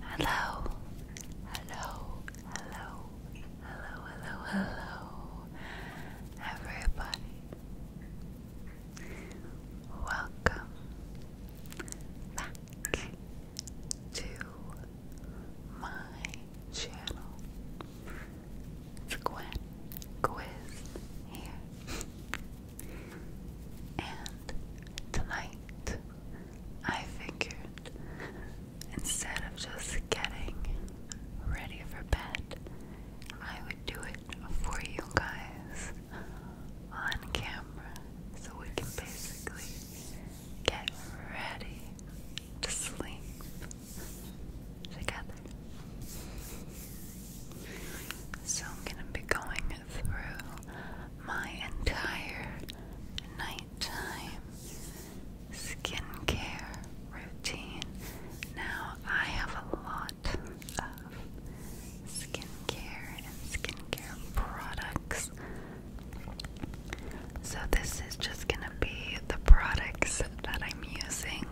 Hello, hello, hello, hello, hello, hello, everybody. Welcome back to my channel. It's Quiz here. And tonight, I figured instead of just getting ready for bed, I would do it for you guys on camera so we can basically get ready to sleep together. So I'm going to be going through my entire nighttime skincare routine. Now I have a lot of skincare and skincare products. So this is just going to be the products that I'm using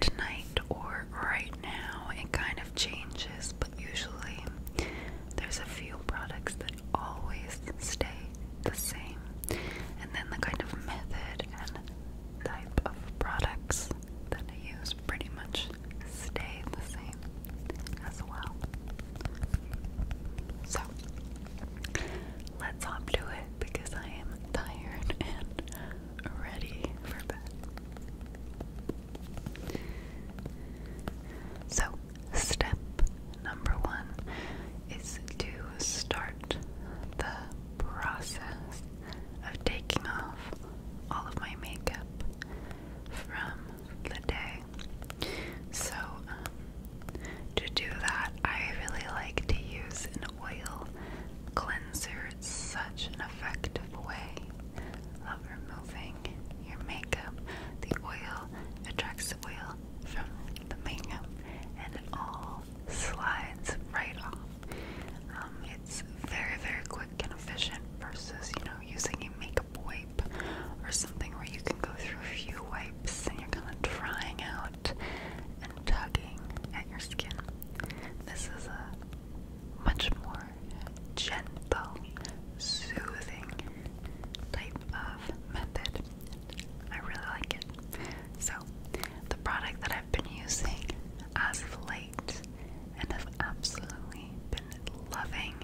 tonight or right now, it kind of changes, but usually there's a few products that always stay the same, and then the kind of method and type of products that I use pretty much stay the same as well. So let's hop to it because I am tired and ready for bed. So, step number one is to start the process of taking off all of my makeup from the day. So, um, to do that, I really like to use an oil cleanser. It's such an effective way of removing your makeup. The oil attracts the oil from the makeup and it all slides right off. Um, it's very, very quick and efficient versus, you know, using a makeup wipe or something where you can go through a few wipes and you're kind of drying out and tugging at your skin. This is much more gentle, soothing type of method. I really like it. So, the product that I've been using as of late and have absolutely been loving,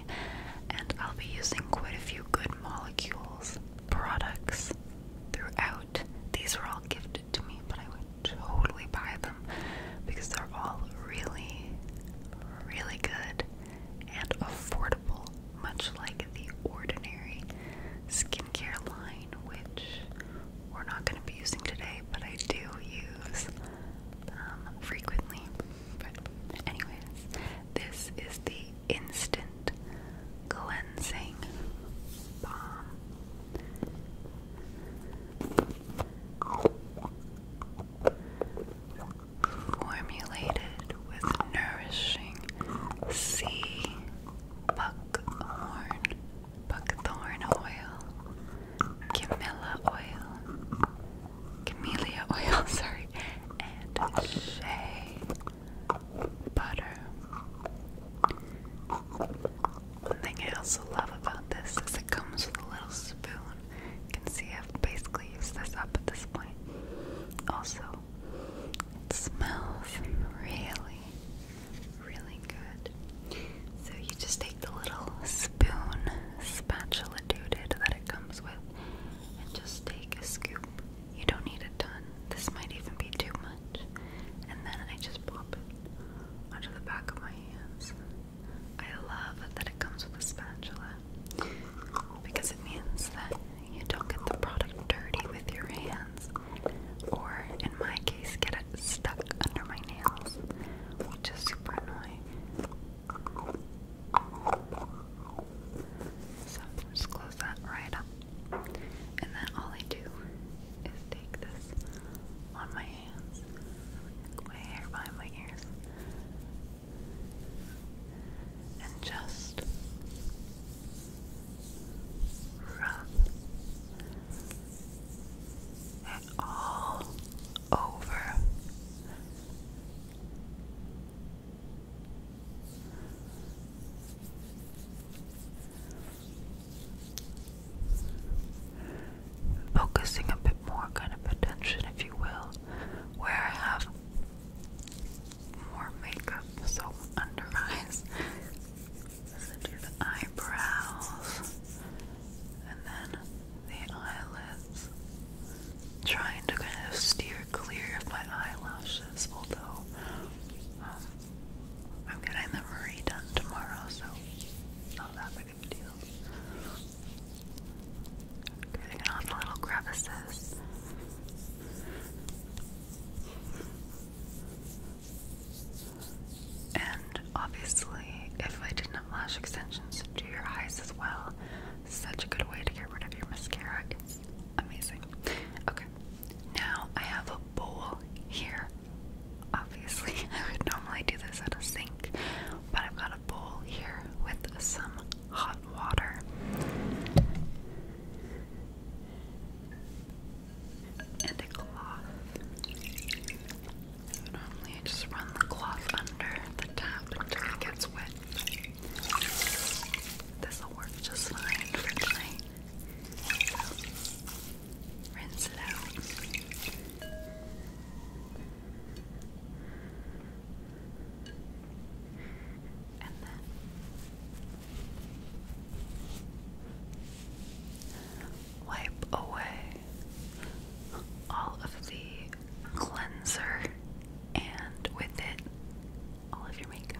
and I'll be using quite a few Good Molecules products throughout. These were all gifted to me, but I would totally buy them because they're all really, really good and affordable, much like the ordinary skincare line, which we're not going to be using today, but I do use um, frequently. But, anyways, this is the Instant Cleansing Balm formulated with nourishing sea buckthorn oil, camellia oil, camellia oil, sorry, and shea butter. One thing I also love about this is it comes with a little spoon. You can see I've basically used this up at this point. Also, it smells really, really good. So you just take the little spoon, spatula dude that it comes with, and just take a scoop. You don't need a ton. This might even be too much. And then I just pop it the back of my hands. I love that it comes with a spatula because it means that you don't get the product dirty with your hands, or in my case, get it stuck under my nails, which is super annoying. So just close that right up, and then all I do is take this on my hands, my behind my ears, and just rub it all over focusing a bit more kind of attention, if you will, where I have more makeup, so under eyes. So do the eyebrows and then the eyelids. Trying to kind of steer clear of my eyelashes, although um, I'm getting them redone tomorrow, so not that big like a deal. Cutting it off the little crevices. And obviously, if I didn't have lash extensions, do your eyes as well. Such a good way to get rid of your mascara. It's amazing. Okay, now I have a bowl here. Obviously, I would normally do this at a sink, but I've got a bowl here with some hot water. And a cloth. Normally, I just run the cloth under the tap until it gets wet. This will work just fine for rinse it out. And then wipe away all of the cleanser and with it all of your makeup.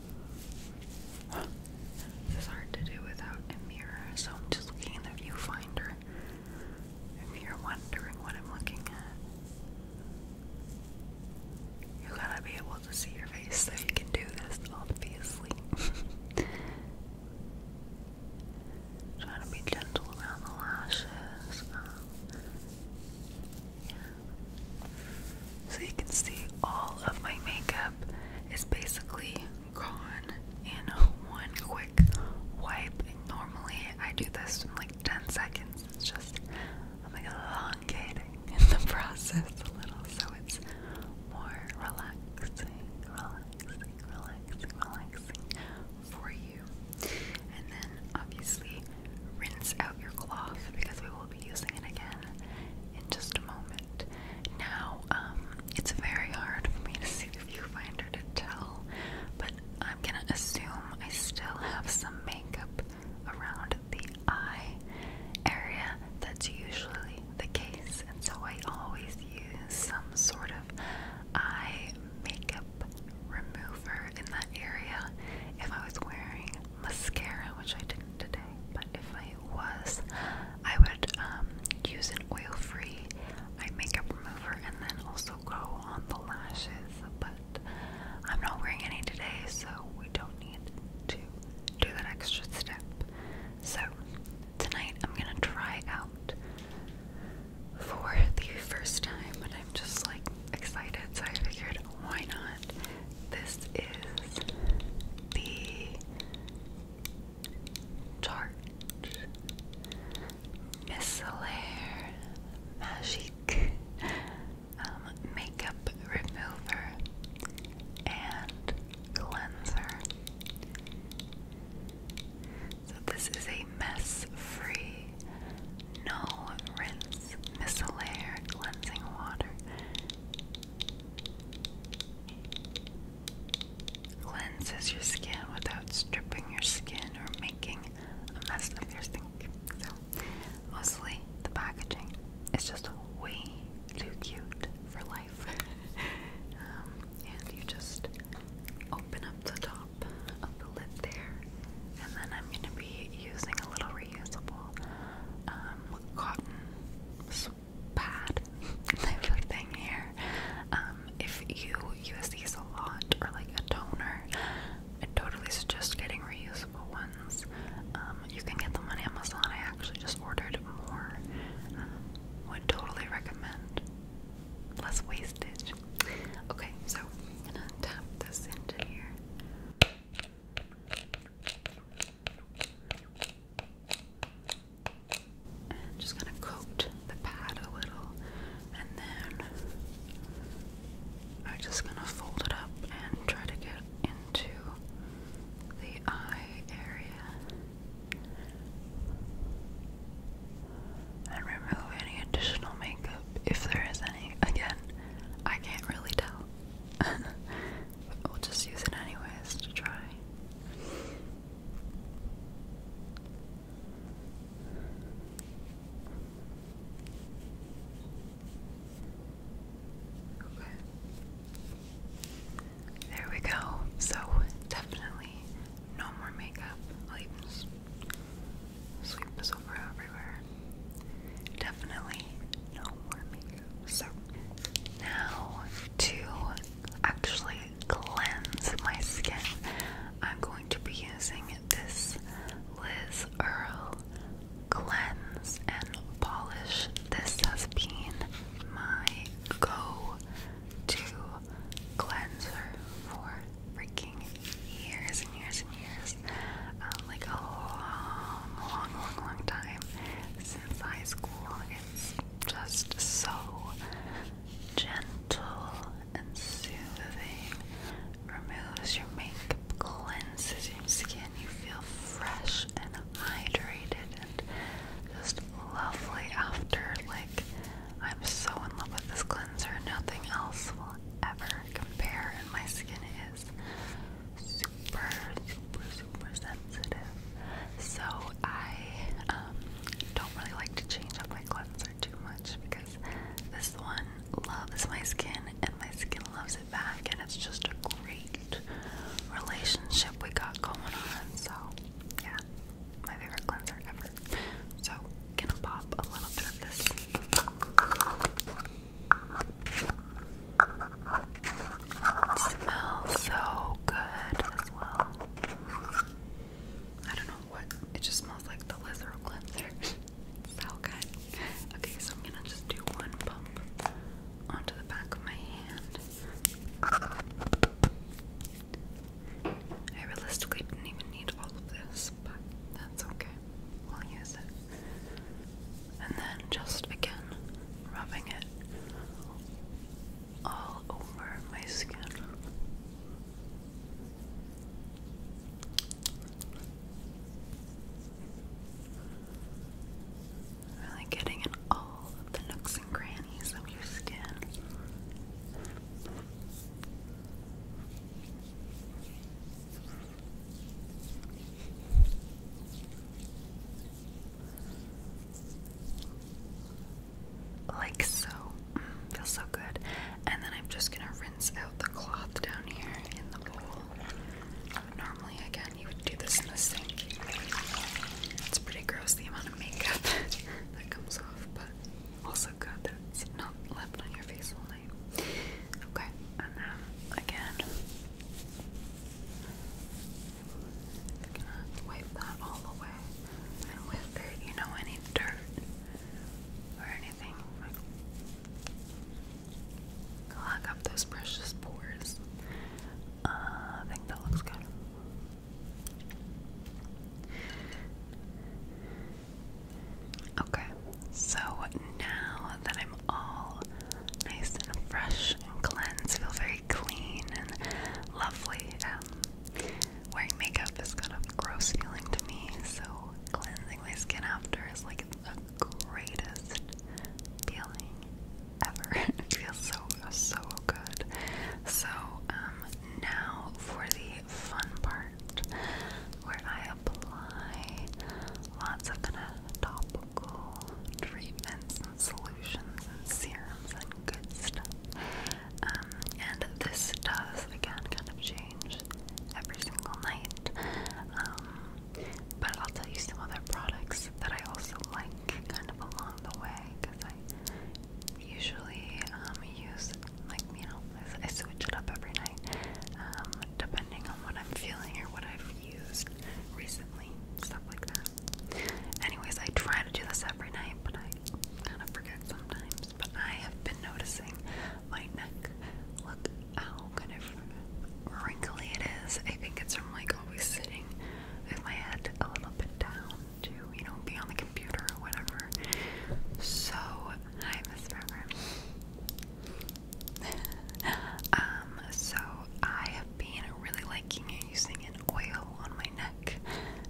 This hard to do without a mirror, so I'm just looking in the viewfinder. If you're wondering what I'm looking at, you gotta be able to see your face so you can do this, obviously. Trying to be gentle around the lashes. Um, yeah. So you can see all of my makeup is basically gone in one quick wipe. normally I do this in like 10 seconds. It's just I'm like elongating in the process a little so it's more relaxing, relaxing, relaxing, relaxing for you. And then obviously rinse out your cloth because we will will be using it again in just a moment. Now, um, it's very hard for me to see the viewfinder to tell, but I'm gonna assume I still have some makeup around the eye area. That's usually the case, and so I always use some sort of eye makeup remover in that area if I was wearing mascara, which I didn't today, but if I was I would um, use an oil-free eye makeup remover and then also go on the lashes, but I'm not wearing any today, so we don't need to do that extra step. So tonight I'm gonna try out for the first time, and I'm just like excited, so I figured why not? This is the Tarte Micellaire Magique um, Makeup Remover and Cleanser. So, this is a mess free, no rinse, micellar cleansing water Cleanses your skin without stripping your skin or making a mess of your sink. So, mostly the packaging is just way too cute for life. Um, and you just open up the top of the lid there, and then I'm going to be using a little reusable um, cotton swab pad for thing here. Um, if you use these a lot or like a toner, I totally suggest getting reusable ones. Um, you can get them on Amazon. I actually just ordered more. Um, would totally recommend. Less wastage. Okay, so I'm gonna tap this into here just gonna coat the pad a little, and then I'm just gonna fold it up and try to get into the eye area and remove any additional makeup if there is any. Again, I can't really tell. We'll just use it anyways to try. Okay. There we go. So definitely no more makeup. I'll even sweep this over everywhere. Definitely no more makeup. So now to actually cleanse my skin, I'm going to be using this Liz Earl Cleanse and Polish. This has been my go-to cleanser for freaking years and years and years. Um, like a long, long, long, long time since high school. It's just so gentle and soothing. Removes your makeup, cleanses your skin. You feel fresh and hydrated and just lovely after. Like, I'm so in love with this cleanser. Nothing else will ever compare, and my skin is super, super, super sensitive. So I um, don't really like to change up my cleanser too much because this one loves my skin and my skin loves it back, and it's just a great relationship we got going on. So yeah, my favorite cleanser ever. So gonna pop a little bit of this smells so good as well. I don't know what it just smells like the Lizzo cleanser. so good. Okay, so I'm gonna just do one pump onto the back of my hand. I realistically didn't even need all of this, but that's okay. We'll use it and then just again rubbing it all over my skin. Really getting in all of the nooks and crannies of your skin. Like so. Mm, feels so good. And then I'm just gonna rinse out the cloth down here in the bowl. Normally, again, you would do this in the sink. It's pretty gross the amount of makeup that comes off, but also good that it's not left on your face all night. Okay, and then um, again, i wipe that all away. And with it, you know, any dirt or anything, like, clog up those precious pores. Uh, I think that looks good. Okay, so now that I'm all nice and fresh and cleansed, feel very clean and lovely. Um, wearing makeup is kind of gross feeling to me, so cleansing my skin after is like the greatest feeling ever. it feels so so good. So um, now for the fun part, where I apply lots of kind of top treatments and solutions and serums and good stuff. Um, and this does again kind of change every single night. Um, but I'll tell you some other products that I also like kind of along the way because I usually um, use, like, you know, I switch it up every night depending on what I'm feeling or what I've used recently, stuff like that. Anyways, I try to do this every night, but I kind of forget sometimes. But I have been noticing my neck. Look how kind of wrinkly it is. I think it's from like always sitting with my head a little bit down to, you know, be on the computer or whatever. So, hi, Miss River. um, so I have been really liking using an oil on my neck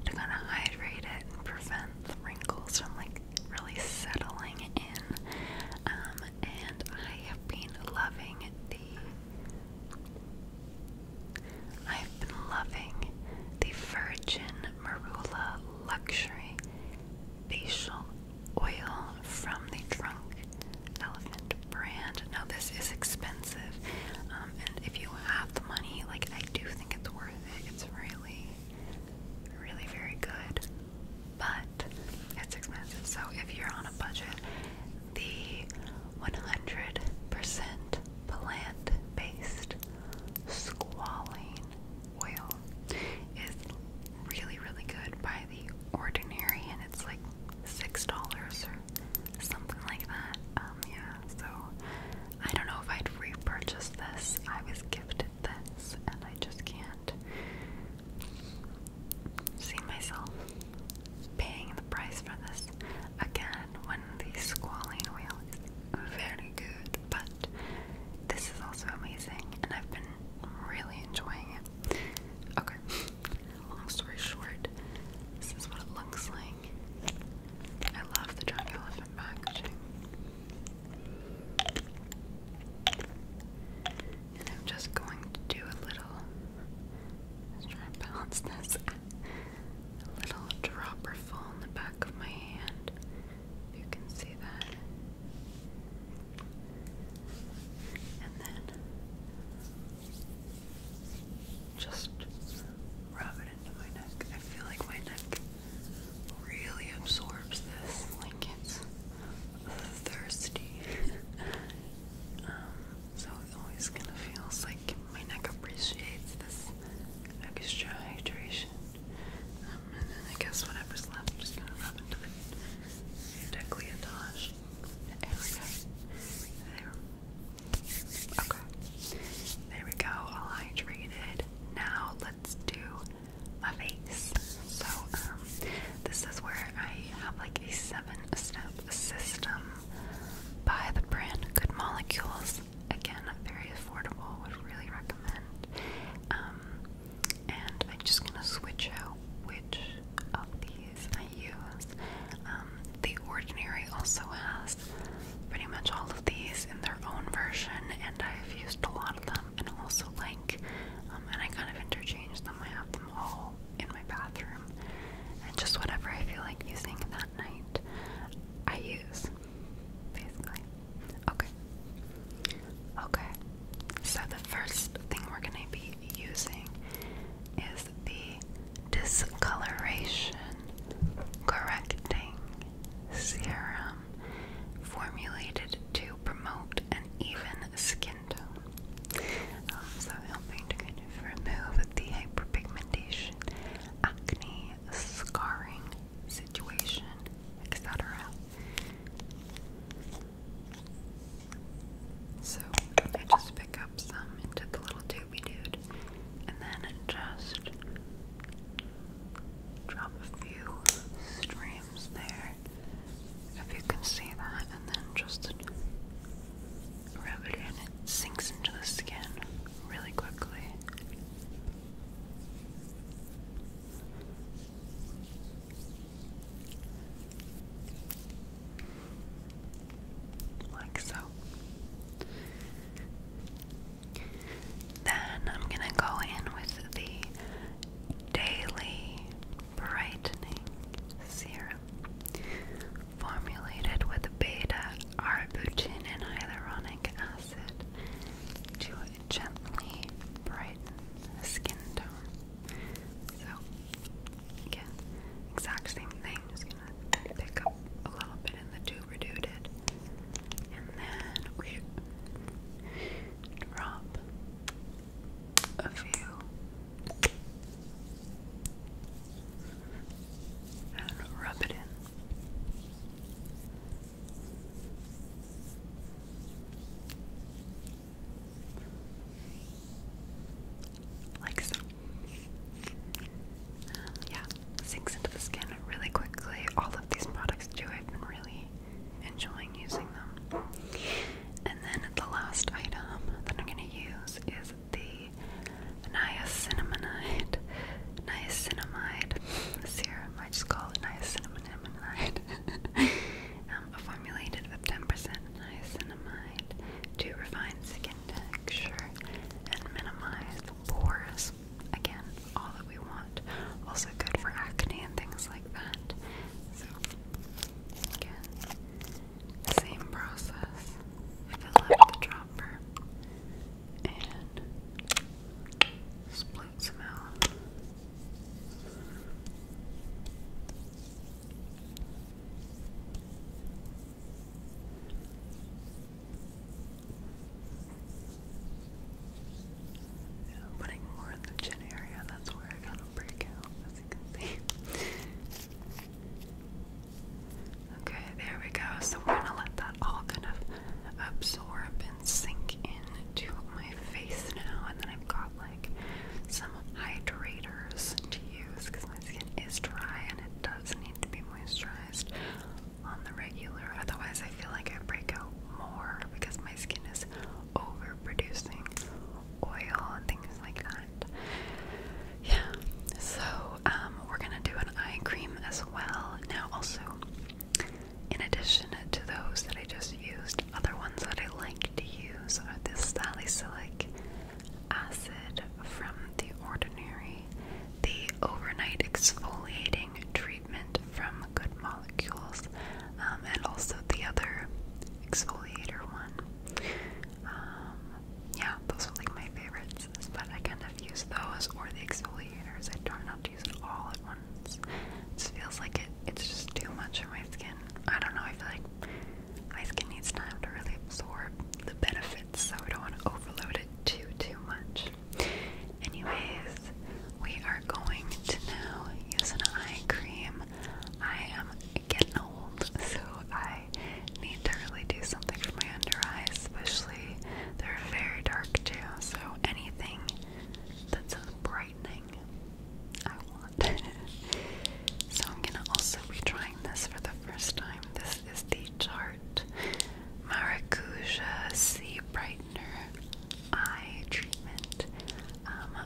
to kind of hydrate it and prevent wrinkles from like really settling in. Um, and I have been loving the. I've been loving the Virgin Marula Luxury Facial Oil from the Drunk Elephant brand. Now this is expensive, um, and if you have the money, like I do think it's worth it. It's really, really very good, but it's expensive. So if you're on a budget, the 100% plant-based squalane oil is really, really good by the ordinary, and it's like six dollars or something like that. Um, yeah, so I don't know if I'd repurchase this. I was gifted this, and I just can't see myself paying the price for this again when the squalene wheel is very good, but this is also amazing, and I've been really enjoying it. Okay. Long story short, this is what it looks like. I love the giant elephant packaging. And I'm just going to do a little, let's try and balance this, a little dropper in the back of my hand. you can see that. And then just rub it into my neck. I feel like my neck really absorbs this. Like it's thirsty. Um, so it always kind of feels like my neck appreciates this extra hydration. Um, and then I guess whatever's left, I'm just gonna rub into the decolletage area. There. Okay. There we go. All hydrated. Now let's do my face. So, um, this is where I have like a seven-step system by the brand Good Molecules. Again, very affordable. Would really recommend. Um, and I'm just gonna switch out which of the I use. Um, the Ordinary also has pretty much all of these in their own version, and I've used a lot of them, and also like, um, and I kind of interchange them. I have them all in my bathroom, and just whatever I feel like using that night, I use basically. Okay. Okay. So the first thing we're gonna be using is the discoloration correcting serum formulated to promote an even skin tone. Um, helping to kind of remove the hyperpigmentation, acne, scarring situation, etc. So I just pick up some into the little doobie dude and then just drop a few streams there if you can see that and then just rub it in. It sinks into the skin really quickly like so. Then I'm going to go in with the Daily Brightening Serum, formulated with beta arbutin and hyaluronic acid to gently brighten skin tone. So, Again, exact same thing. Just gonna pick up a little bit in the tuber dooted. And then we drop a few and rub it in like so. Um, yeah, sinks into the skin really quickly. All of these products do. I've been really enjoying using them. And then the last item that I'm going to use is the niacinamide, niacinamide serum. I just call it niacinamide. um, formulated with 10% niacinamide to refine skin texture and minimize pores. Again, all that we want. Also good for acne and things like that. So, again, same process. Fill up the dropper and split some out. I'm putting more in the chin area, that's where I kind of break as you can see. okay, there we go. So we're gonna let that all kind of absorb and sink into my face now, and then I've got like some hydrators to use because my skin it is dry and it does need to be moisturized on the regular. Otherwise, I feel like I break out more because my skin is overproducing oil and things like that. Yeah. So, um, we're gonna do an eye cream as well. Now, also, in addition to those that I just used, other ones that I like to use are this Sally Silic acid from the ordinary, the overnight exfoliating treatment from Good Molecules, um, and also the other exfoliator one. Um, yeah, those were like my favorites, but I kind of use those or the exfoliators. I try not to use it all at once. It feels like it, it's just too much for my skin. I don't know, I feel like my skin needs time to really absorb the benefits, so we don't want to overload it too, too much. Anyways, we are going to now use an eye cream. I am getting old, so I need to really do something for my under eyes, especially they're very dark too, so anything that's brightening, so I'm gonna also be trying this for the first time. This is the Chart Maracuja C Brightener Eye Treatment. Um,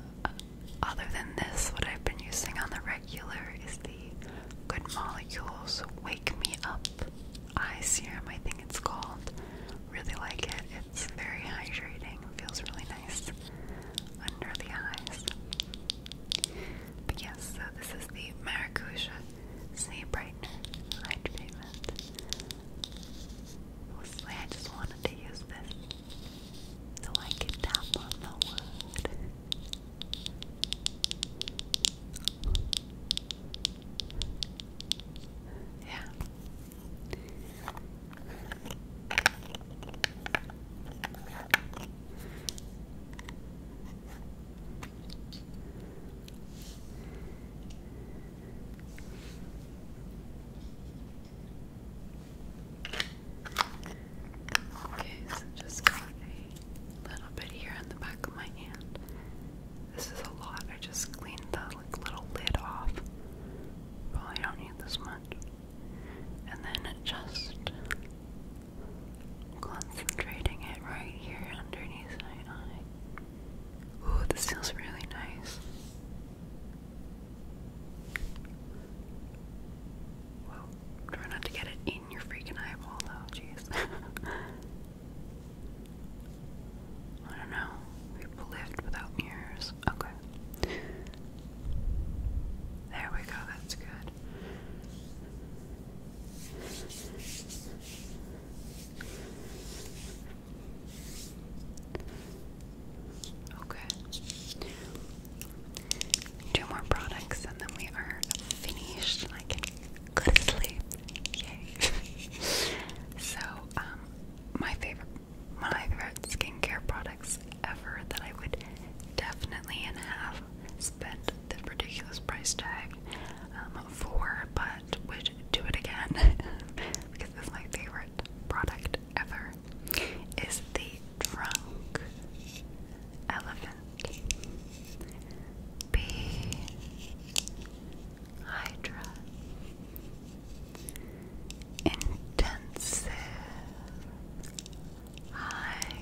other than this, what I've been using on the regular is the Good Molecules Wake Me Up Eye Serum, I think it's called. Really like it. It's very hydrating, feels really nice under the eyes. But yes, so this is the Maracuja Sea Brightener Light Treatment. Mostly I just wanted to use this so I could tap on the wood. Yeah. Okay, so just a little bit here in the back of my hand. This is a lot. I just cleaned the little lid off. Probably don't need this much. And then just Concentrating it right here underneath my eye. Ooh, this feels really nice. Whoa, try not to get it in your freaking eyeball though, jeez. I don't know. People lived without mirrors. Okay. There we go, that's good. Okay. Two more products and then we are finished and I sleep. Yay. so, um my favorite my favorite skincare products ever that I would definitely and have spent the ridiculous price tag um, for, but would do it again because it's my favorite product ever. Is the Drunk Elephant B Hydra Intensive Hydration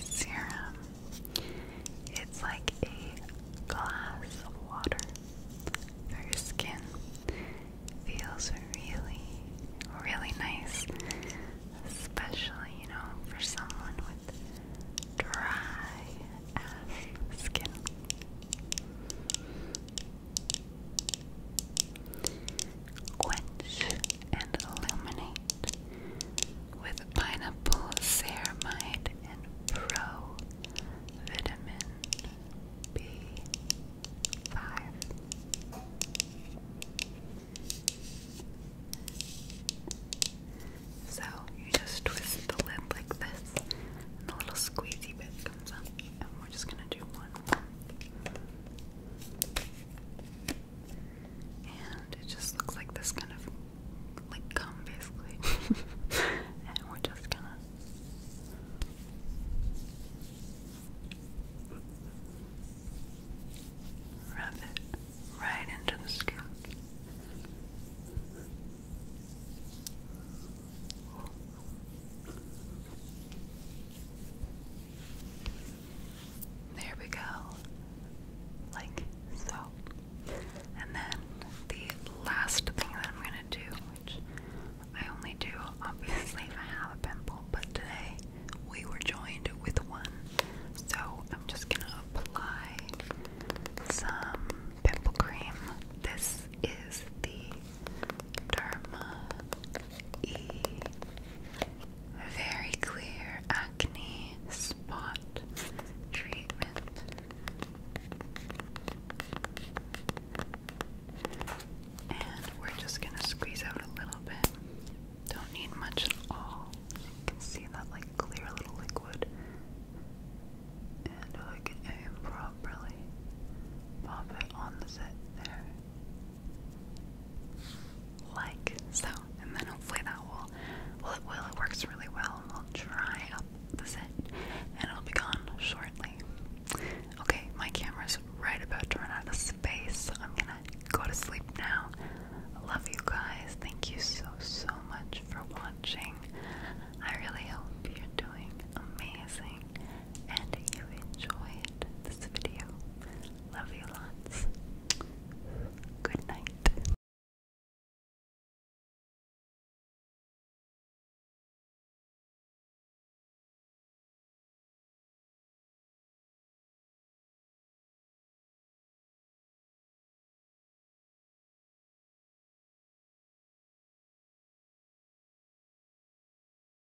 Serum. It's like a glass of water for your skin. Feels really, really nice, especially, you know, for someone with dry ass skin. Quench and illuminate with pineapple ceramide and pro vitamin B5. So you just twist the lid like this, and a little squeezy bit comes up, and we're just gonna do one. And it just looks like this kind of like gum basically. and we're just gonna rub it right into the skin. There we go. Like so. And then the last thing that I'm going to do, which I only do obviously if I have a pimple, but today we were joined with one. So I'm just going to apply some pimple cream. This is the Derma E. Very clear acne spot treatment. And we're just going to squeeze out a little bit. Don't need much at all. You can see that like clear little liquid. And I can aim properly. Pop it on the set there like so, and then hopefully that will, well it will, it works really well, and we'll dry up the set, and it'll be gone shortly. Okay, my camera's right about to run out of space, I'm gonna go to sleep now. love you guys, thank you so, so much for watching. I really hope you're doing amazing and you enjoyed this video. Love you lots. Good night.